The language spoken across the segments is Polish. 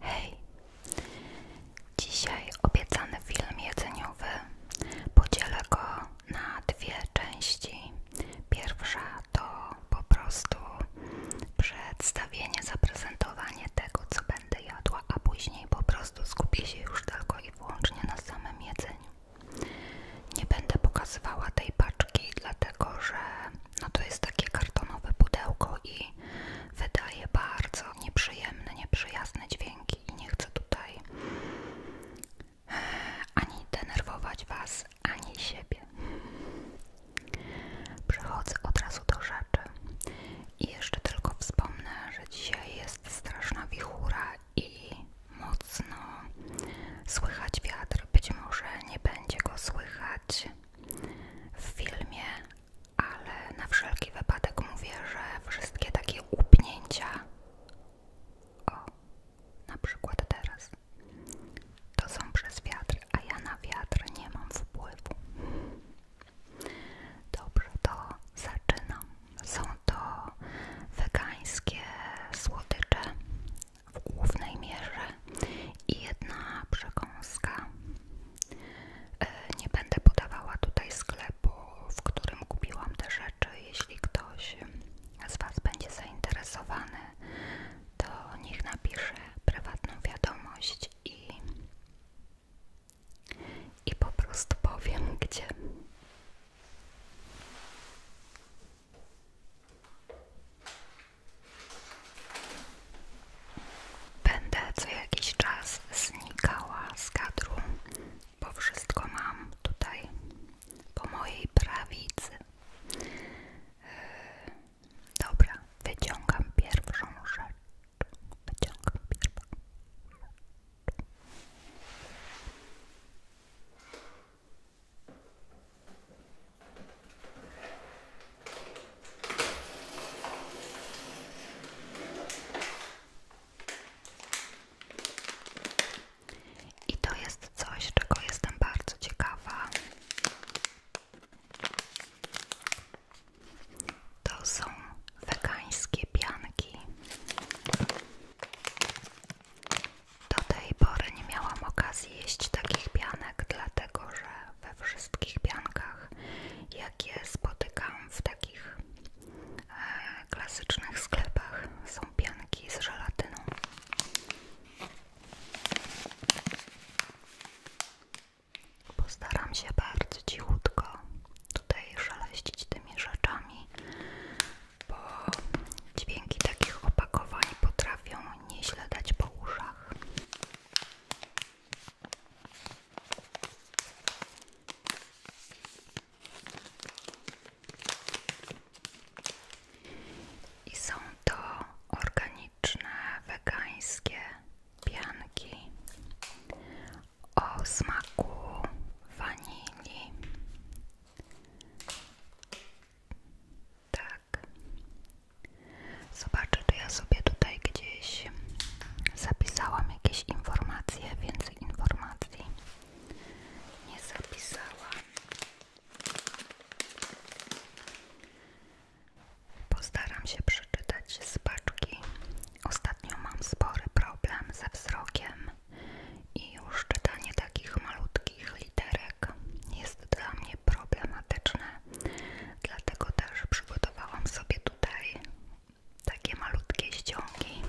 Hej! Dzisiaj obiecany film jedzeniowy podzielę go na dwie części. Pierwsza to po prostu przedstawienie, zaprezentowanie tego, co będę jadła, a później po prostu skupię się już tylko i wyłącznie na samym jedzeniu. Nie będę pokazywała tej paczki, dlatego że no to jest takie kartonowe pudełko i wydaje bardzo nieprzyjemne, nieprzyjazne dźwięki i nie chcę tutaj eh, ani denerwować Was, ani siebie. Przechodzę od razu do rzeczy i jeszcze tylko wspomnę, że dzisiaj jest straszna wichura i mocno słychać wiatr. Być może nie będzie go słychać w filmie, ale na wszelki wypadek mówię, że wszystkie takie upnięcia, o, na przykład teraz, to są przez wiatr, a ja na wiatr nie mam wpływu. Dobrze, to zaczynam. Są to wegańskie słodycze w głównej mierze i jedna przekąska. E, nie będę podawała tutaj sklepu, w którym kupiłam te rzeczy. Jeśli ktoś z Was będzie zainteresowany, to niech napisze prywatną wiadomość i, i po prostu powiem gdzie. Będę co jakiś czas znikała z kadru, bo wszystko mam tutaj po mojej prawicy. Yy, dobra, wyciągam pierwszą rzecz. Wyciągam pierwszą rzecz. I to jest coś, czego jestem bardzo ciekawa. To są wegańskie pianki. Do tej pory nie miałam okazji jeść takich pianek, dlatego że we wszystkich piankach, jakie spotykam w takich e, klasycznych sklepach. Są pianki z żelatyną. Postaram się bardzo cichutko tutaj szaleścić tymi rzeczami, bo dźwięki takich opakowań potrafią nieźle dać po uszach. I są to organiczne, wegańskie pianki o smaku wanili. Tak. Tak. Zobaczę, czy ja sobie tutaj gdzieś zapisałam jakieś informacje, więcej informacji nie zapisałam. Postaram się przeczytać z paczki. Ostatnio mam spory problem ze wzrokiem i już czytanie takich malutkich literek jest dla mnie problematyczne. Dlatego też przygotowałam sobie tutaj takie malutkie ściągi,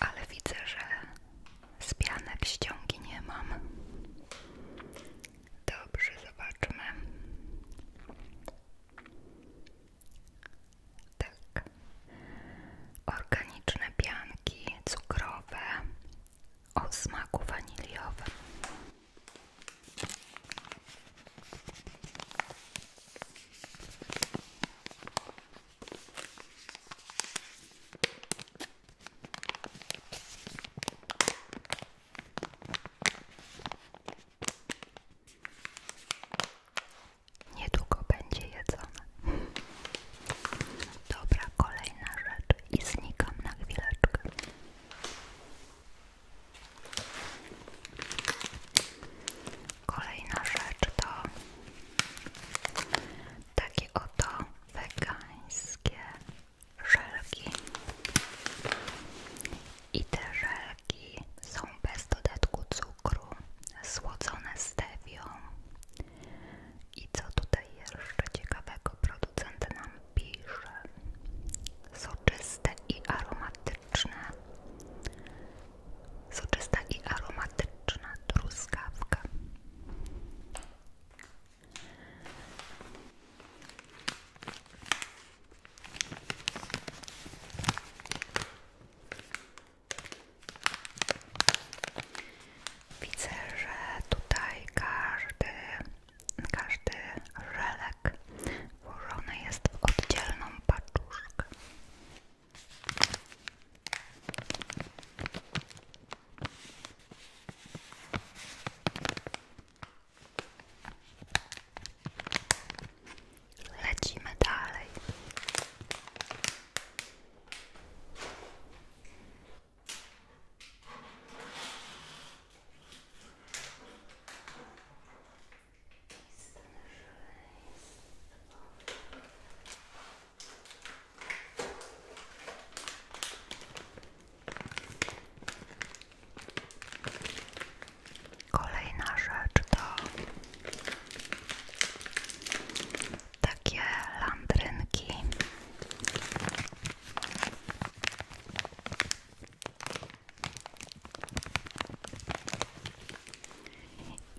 ale widzę, że z pianek ściągi nie mam. Dobrze, zobaczmy. Tak. Organiczne pianki cukrowe o smaku waniliowym. Niedługo będzie jedzone. Dobra, kolejna rzecz i znikam na chwileczkę. Kolejna rzecz to takie oto wegańskie żelki. I te żelki są bez dodatku cukru, słodzone stewią. I co tutaj jeszcze ciekawego producent nam pisze soczyste i aromatyczne soczysta i aromatyczna truskawka Widzę, tutaj każdy każdy żelek włożony jest w oddzielną paczuszkę. Lecimy dalej. Kolejna rzecz to takie landrynki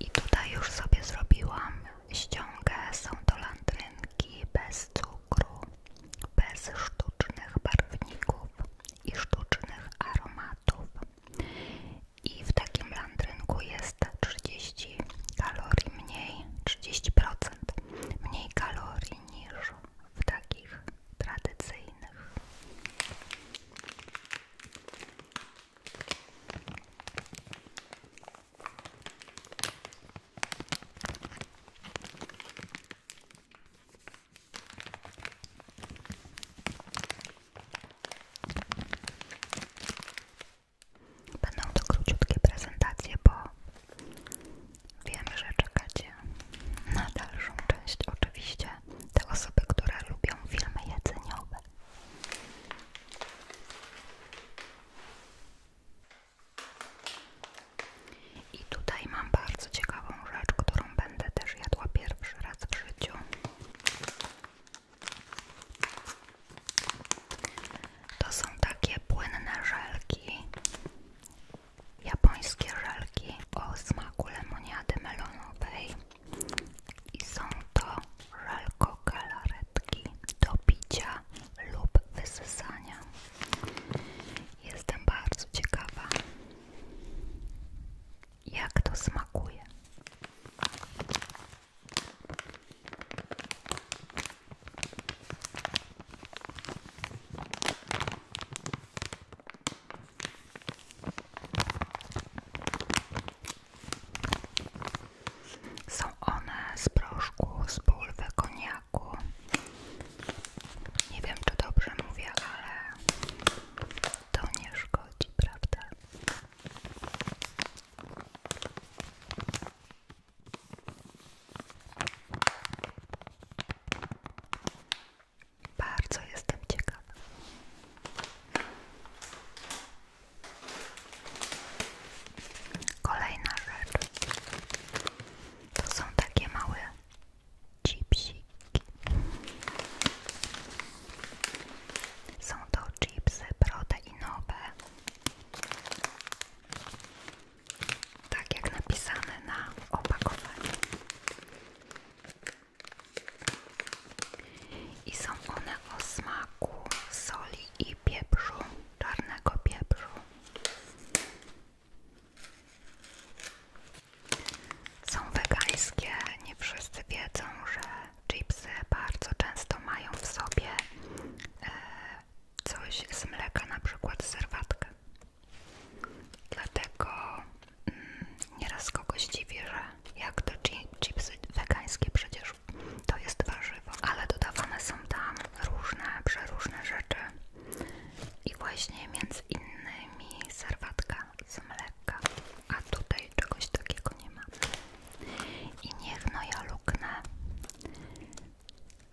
i tutaj już sobie zrobiłam ściągę. Są to landrynki bez cukru, bez sztucznych barwników i sztucznych aromatów. I w takim landrynku jest 30 kalorii mniej, 30% mniej kalorii niż w takich tradycyjnych. Będą to króciutkie prezentacje, Wiem, że czekacie na dalszą część. Oczywiście te osoby, które lubią filmy jedzeniowe. I tutaj mam bardzo ciekawą rzecz, którą będę też jadła pierwszy raz w życiu. To są takie płynne żelki japońskie żelki o smaku lemoniady melonowej i są to żelko galaretki do picia lub wysysania. Jestem bardzo ciekawa, jak to smakuje. Są one z proszku, z pulwy, koniaku. Nie wiem, czy dobrze mówię, ale to nie szkodzi, prawda? Bardzo jestem ciekawa. Kolejna rzecz. To są takie małe chipsiki. Są to chipsy proteinowe tak jak napisane na opakowaniu. I są one o smaku soli i pieprzu, czarnego pieprzu. Są wegańskie, nie wszyscy wiedzą, że chipsy bardzo często mają w sobie e, coś z mleka, na przykład serwatkę. Dlatego mm, nieraz kogoś dziwi, że jak to chipsy wegańskie przecież to jest warzywo, ale dodawane są tam różne, przeróżne rzeczy i właśnie między innymi serwatka z mleka, a tutaj czegoś takiego nie ma. I niech no ja luknę,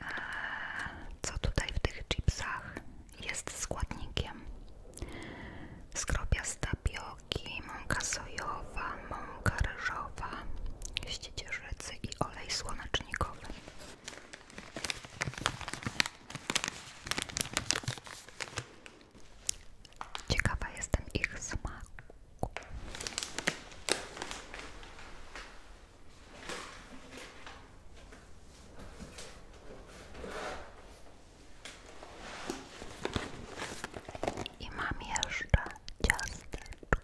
e, co tutaj w tych chipsach jest składnikiem skrobia z mąka sojowa, mąka ryżowa, ściecierzycy i olej słonecznikowy. Ciekawa jestem ich smaku. I mam jeszcze ciasteczka.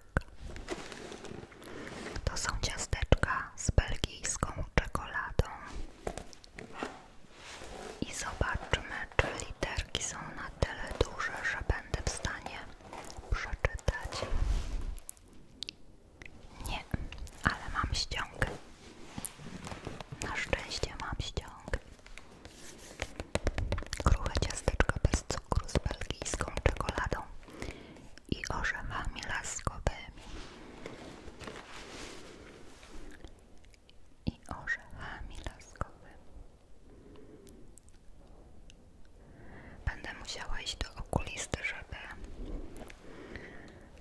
To są ciasteczka z belgijską czekoladą. I zobaczmy, czy literki są na tyle duże, że będę w stanie przeczytać. Nie, ale mam ściąg. Na szczęście mam ściąg. Kruche ciasteczko bez cukru z belgijską czekoladą i orzechami laskowymi. I orzechami laskowymi. Będę musiała iść do okulisty, żeby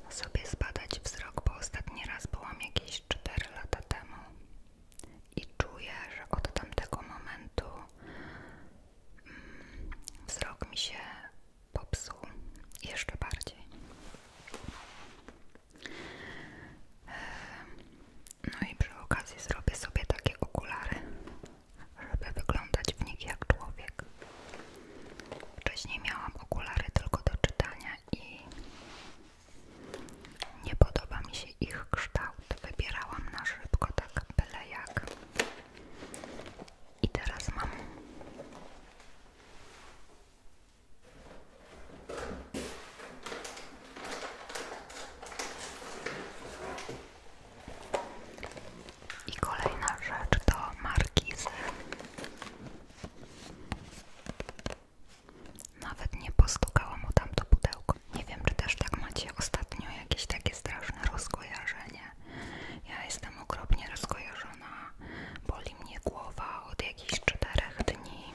sobie zbadać wzrok, bo ostatni raz byłam jakieś 4 lata temu i czuję, że od tamtego momentu mm, wzrok mi się popsuł jeszcze bardziej. Ehm, no i przy okazji zrobię sobie takie okulary, żeby wyglądać w nich jak człowiek. Wcześniej miałam okulary tylko do czytania i nie podoba mi się ich kształt. Wybierałam na szybko, tak byle jak. I teraz mam. I kolejna rzecz to markizy. Nawet nie postukało mu tam to pudełko. Nie wiem, czy też tak macie ostatnio jakieś takie straszne rozkojarzenie. Ja jestem okropnie rozkojarzona. Boli mnie głowa od jakichś czterech dni.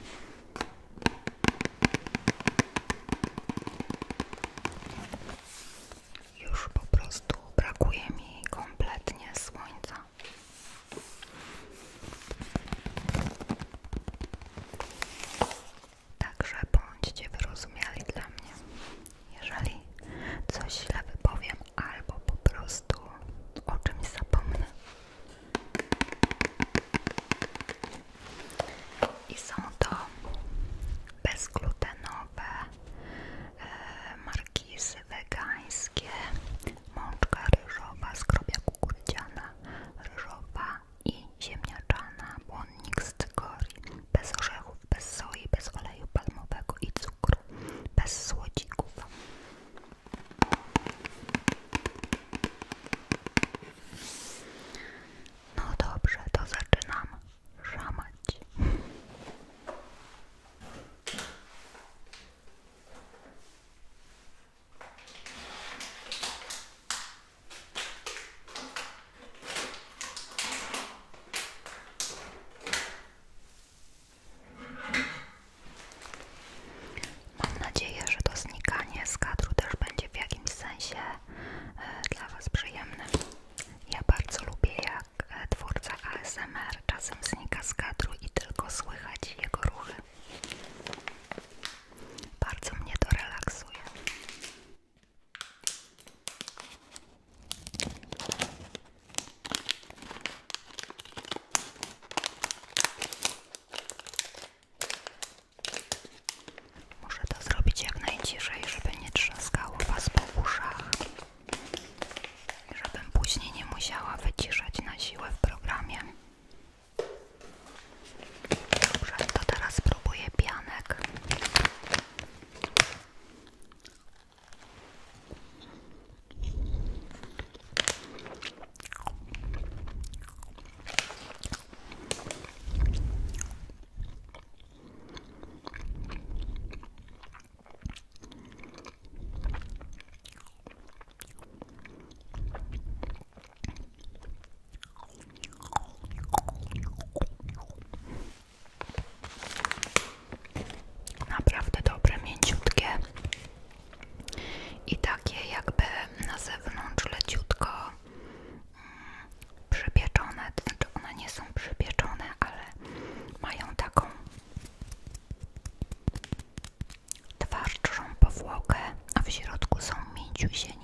Już po prostu brakuje mi kompletnie słońca. Także bądźcie wyrozumiali dla mnie. Jeżeli coś źle wypowiem albo po prostu o czymś zapomnę. I są to bezglutenowe E, markizy wegańskie, mączka ryżowa, skrobia kukurydziana, ryżowa i ziemniaczana, błonnik z cykorii, bez orzechów, bez soi, bez oleju palmowego i cukru, bez słodzików. No dobrze, to zaczynam szamać. Mam nadzieję, że to znikanie z kadru też będzie w jakimś sensie e, dla Was przyjemne. Ja bardzo lubię, tak twórca ASMR czasem znika z kadru i tylko słychać jego ruchy. Bardzo mnie to relaksuje. Muszę to zrobić jak najciszej, żeby nie trzaskało was po uszach żebym później nie musiała wyciszać na siłę w programie. Dobrze, to teraz spróbuję pianek. Naprawdę dobre, mięciutkie i takie jakby na zewnątrz leciutko mm, przypieczone, to znaczy one nie są przypieczone, ale mają taką Twarczą powłokę, a w środku są mięciusieńkie.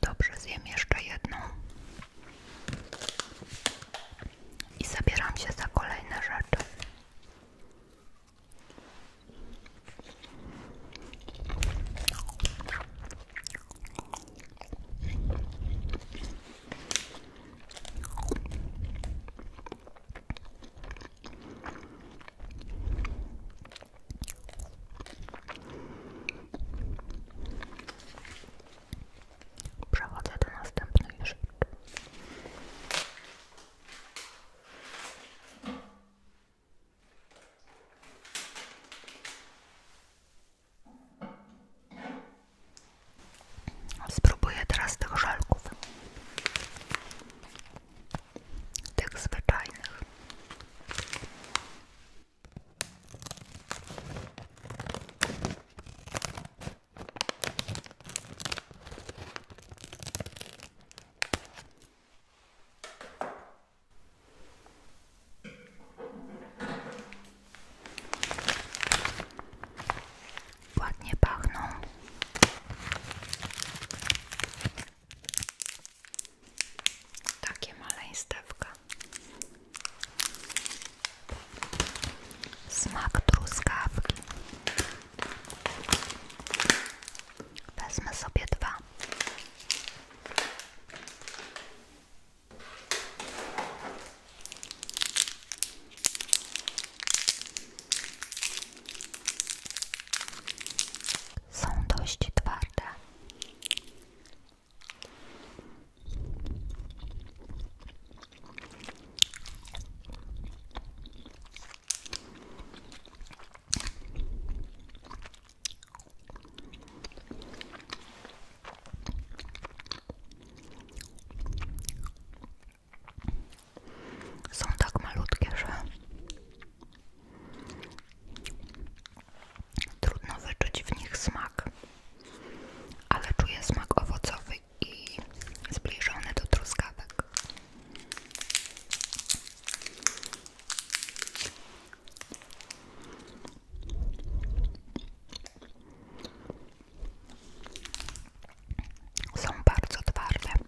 Dobrze, zjem jeszcze jedną. I zabieram się za kolejne rzeczy. Przechodzę do następnej rzeczy. Spróbuję teraz tych żelków tych zwyczajnych. Ładnie pachną. Takie maleństewka. Smak truskawki. Wezmę sobie dwa. Są dość twarde. Są tak malutkie, że Trudno wyczuć w nich smak, ale czuję smak owocowy i zbliżony do truskawek. Są bardzo twarde.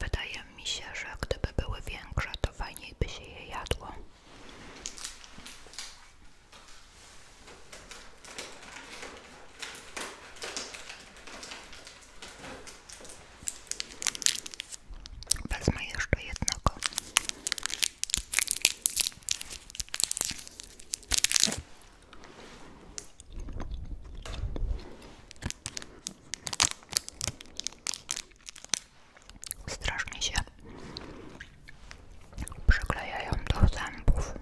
Wydaje mi się, że gdyby były większe, to fajniej by się je jadło. Wezmę jeszcze jednego. Strasznie się przyklejają do zębów.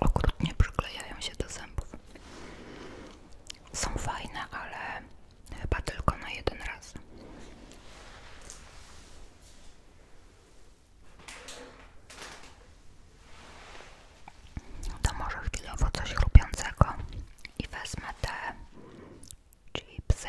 Okrutnie przyklejają się do zębów. Są fajne, ale chyba tylko na jeden raz. To może chwilowo coś chrupiącego i wezmę te chipsy.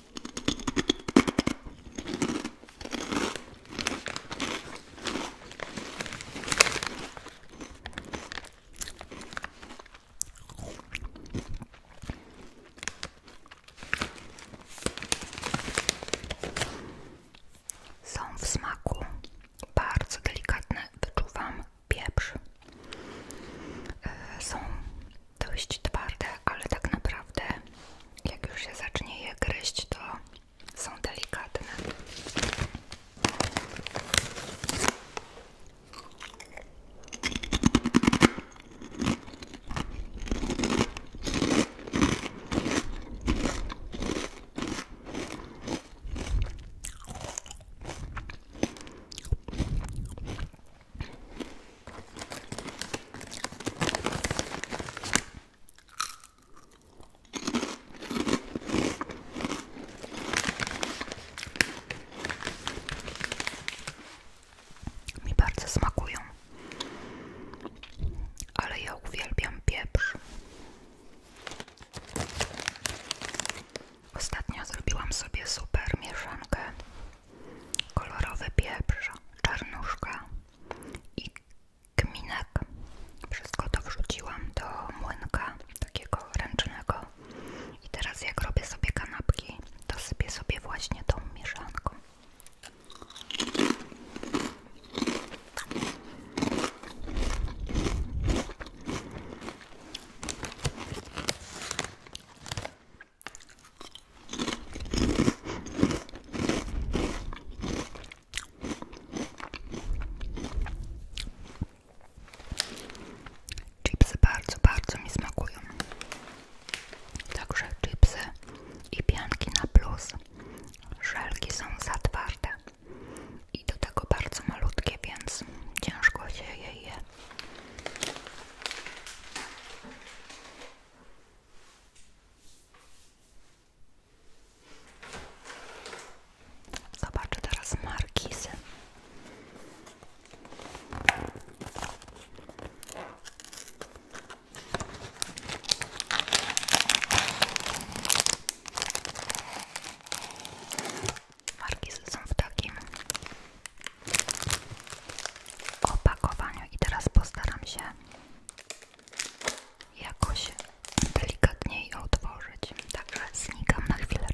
Są w smaku bardzo delikatne, wyczuwam pieprz. E, są dość twarde, ale tak naprawdę jak już się zacznie je gryźć, to są delikatne. Mi bardzo smakują, ale ja uwielbiam pieprz. Ostatnio zrobiłam sobie super mieszankę. Kolorowy pieprz, czarnuszka, i kminek. Wszystko to wrzuciłam do młynka takiego ręcznego. I teraz jak robię sobie kanapki, to sypię sobie właśnie tą mieszanką. Chipsy bardzo, bardzo mi smakują. Także chipsy i pianki na plus. Żelki są za twarde i do tego bardzo malutkie, więc ciężko się je je. Zobaczę teraz markizy. Markizy są w takim opakowaniu i teraz postaram się jakoś delikatniej otworzyć. Także znikam na chwileczkę.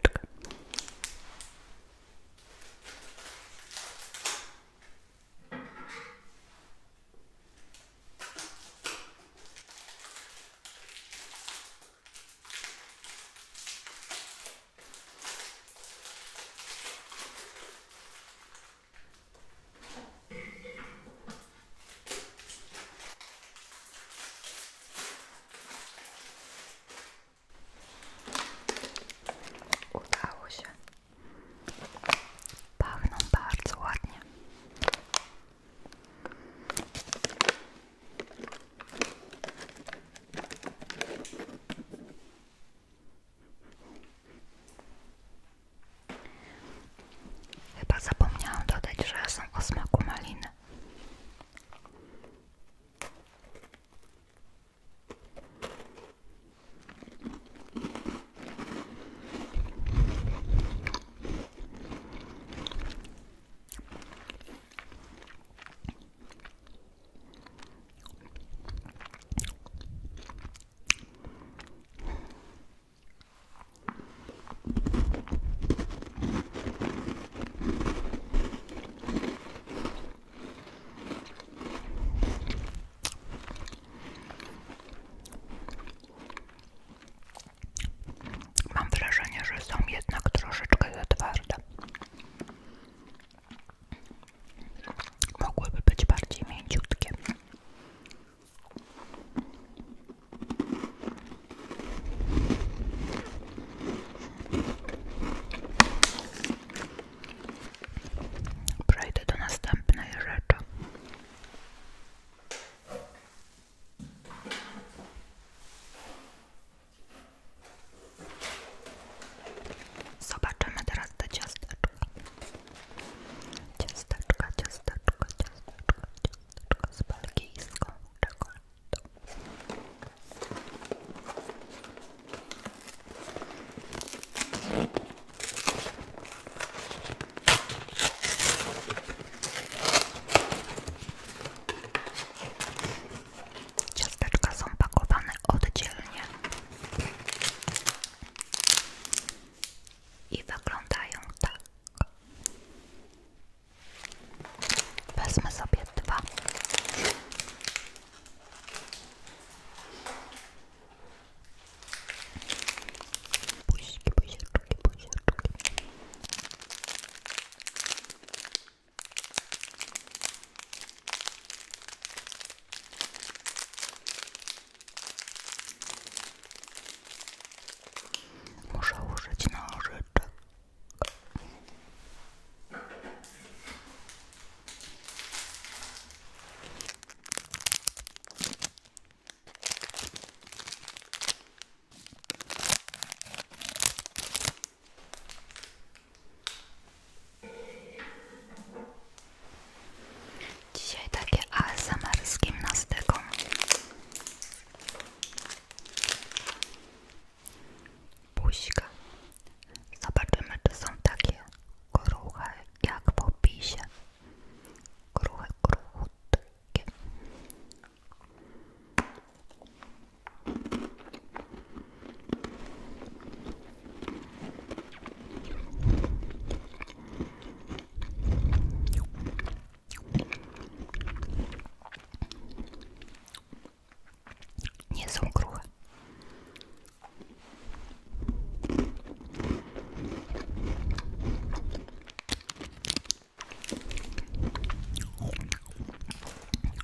Udało się. Pachną bardzo ładnie. Chyba zapomniałam dodać, że są o smaku maliny. Mam wrażenie, że są jednak troszeczkę za twarde mogłyby być bardziej mięciutkie. Przejdę do następnej rzeczy. Zobaczymy teraz te ciasteczka. Ciasteczka, ciasteczka, ciasteczka, ciasteczka z belgijską czekoladą. Ciasteczka są pakowane oddzielnie i wyglądają tak. Wezmę sobie dwa. Buźki, buzieczki, buzieczki. Muszę użyć nożyczek. Dzisiaj takie ASMR z gimnastyką. Buźka. Zobaczymy, czy są takie kruche jak w opisie. Kruche, kruchutkie. Nie są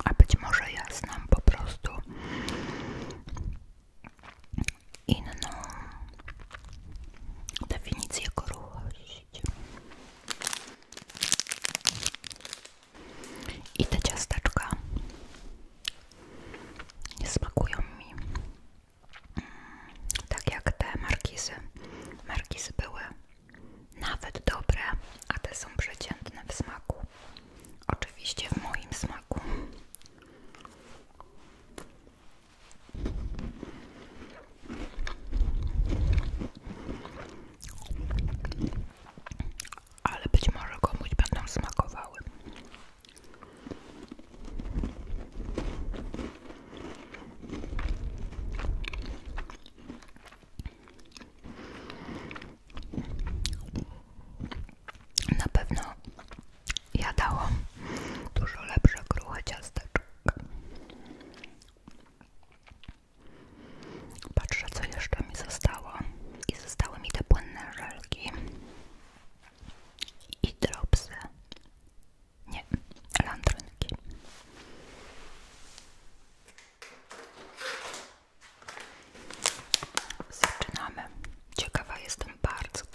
A być może ja znam po prostu inną definicję kruchości. I te ciasteczka nie smakują mi mm, tak jak te markizy. Markizy były nawet dobre, a te są przeciętne w smaku. Oczywiście w moim smaku. Ale być może komuś będą smakowały. Na pewno Jadało dużo lepsze kruche ciasteczka. Patrzę, co jeszcze mi zostało. I zostały mi te płynne żelki. I dropsy. Nie, landrynki. Zaczynamy. Ciekawa jestem bardzo, tak.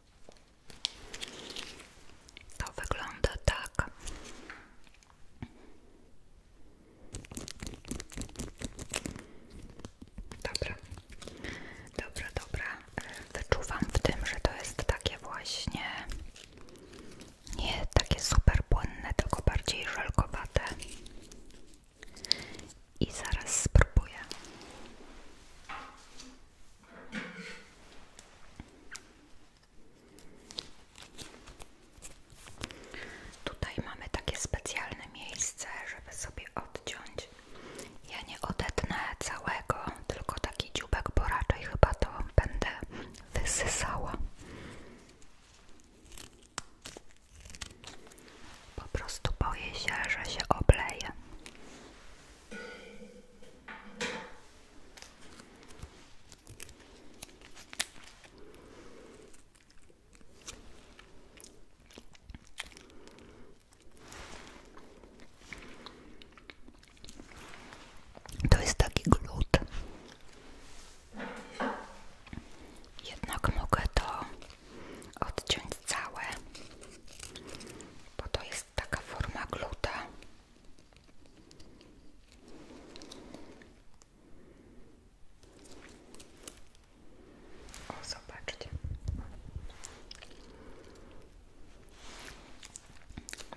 To wygląda tak. Dobra, dobra, dobra. Wyczuwam w tym, że to jest takie właśnie nie takie super płynne, tylko bardziej żelkowate i zaraz spróbuję. Tutaj mamy takie specjalne miejsce, żeby sobie odciąć. Ja nie odetnę całego, tylko taki dziubek, bo raczej chyba to będę wysysała. Po prostu boję się, że się obleję. To jest taki glut. Jednak mogę to odciąć całe, bo to jest taka forma gluta. O, zobaczcie.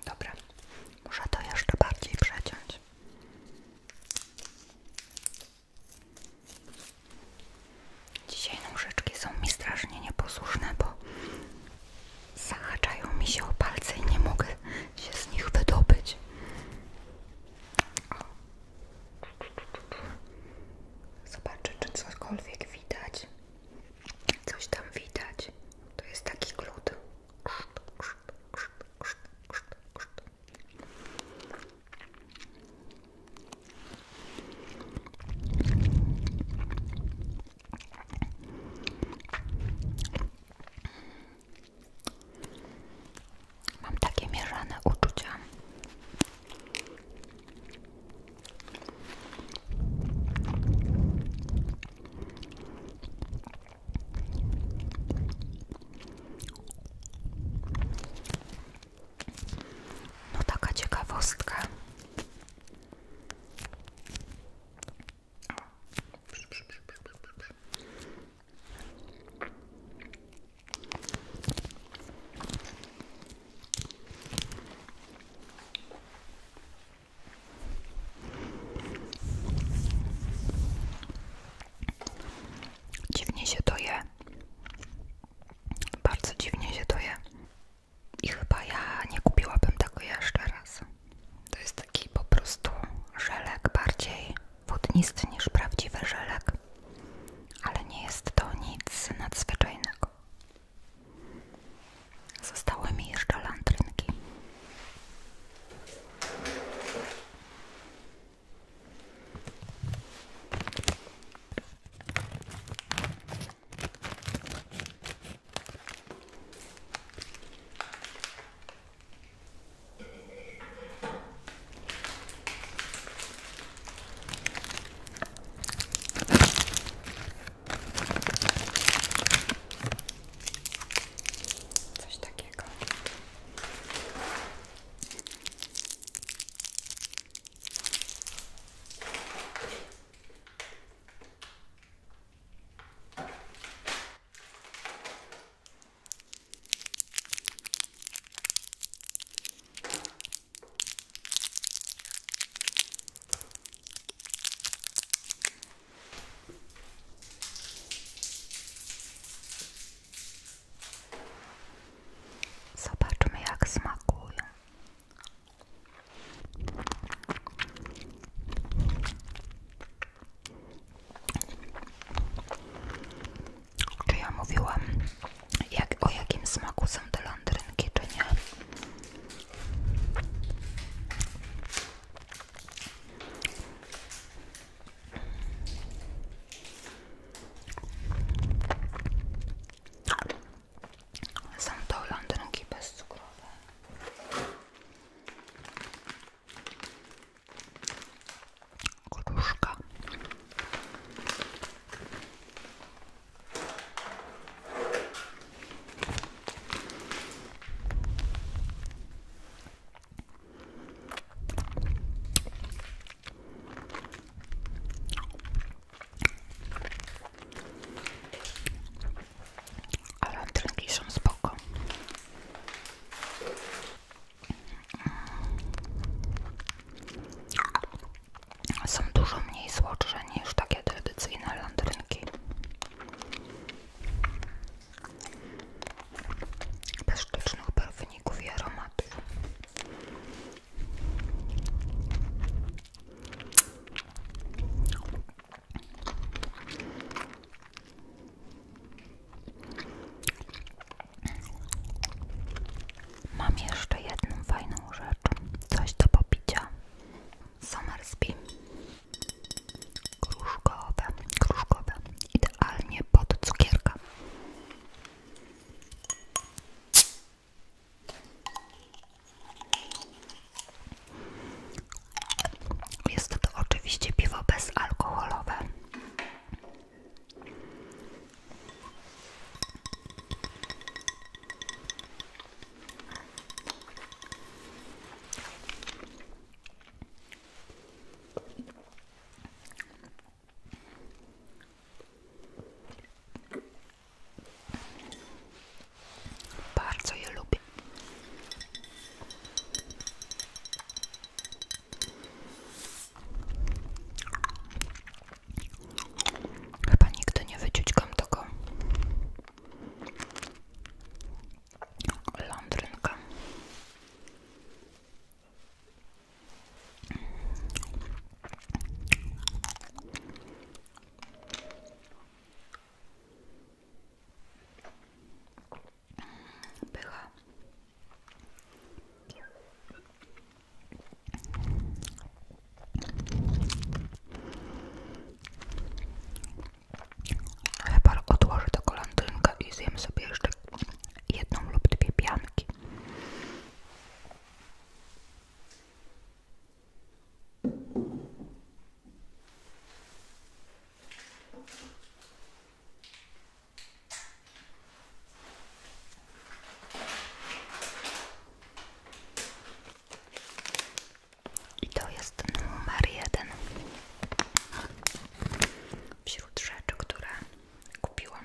Dobra, muszę to jeszcze bardziej przeciąć. Dzisiaj nóżeczki są mi strasznie nieposłuszne, bo zahaczają mi się o palce i nie mogę się z nich wydobyć. Zobaczę, czy cokolwiek widać. Coś tam widać. To jest taki glut. Mam takie mieszane uczucia. No taka ciekawostka. Dziwnie się to je. Bardzo dziwnie się to je. I chyba ja nie kupiłabym tego jeszcze raz. To jest taki po prostu żelek, bardziej wodnisty niż prawdziwy żelek, ale nie jest to nic nadzwyczajnego. Zostały mi jeszcze landrynki. Coś takiego. Zobaczmy, jak smakują. Czy ja mówiłam jak, o jakim smaku są te landrynki, czy nie? Są to landrynki bezcukrowe. Kruszka. Ale antrynki są spoko. Są dużo mniej słodsze niż takie tradycyjne landrynki. Bez sztucznych barwników i aromatów. Mam jeszcze jedną fajną rzecz, coś do popicia. Somersby. Kruszkowe, kruszkowe. Idealnie pod cukierka. Jest to oczywiście piwo bezalkoholowe. Bardzo je Chyba nigdy nie wyciągam tego lądrynka. Pycha. Chyba odłożę to kolantynkę i zjem sobie jeszcze jedną lub dwie pianki. I to jest numer jeden wśród rzeczy, które kupiłam.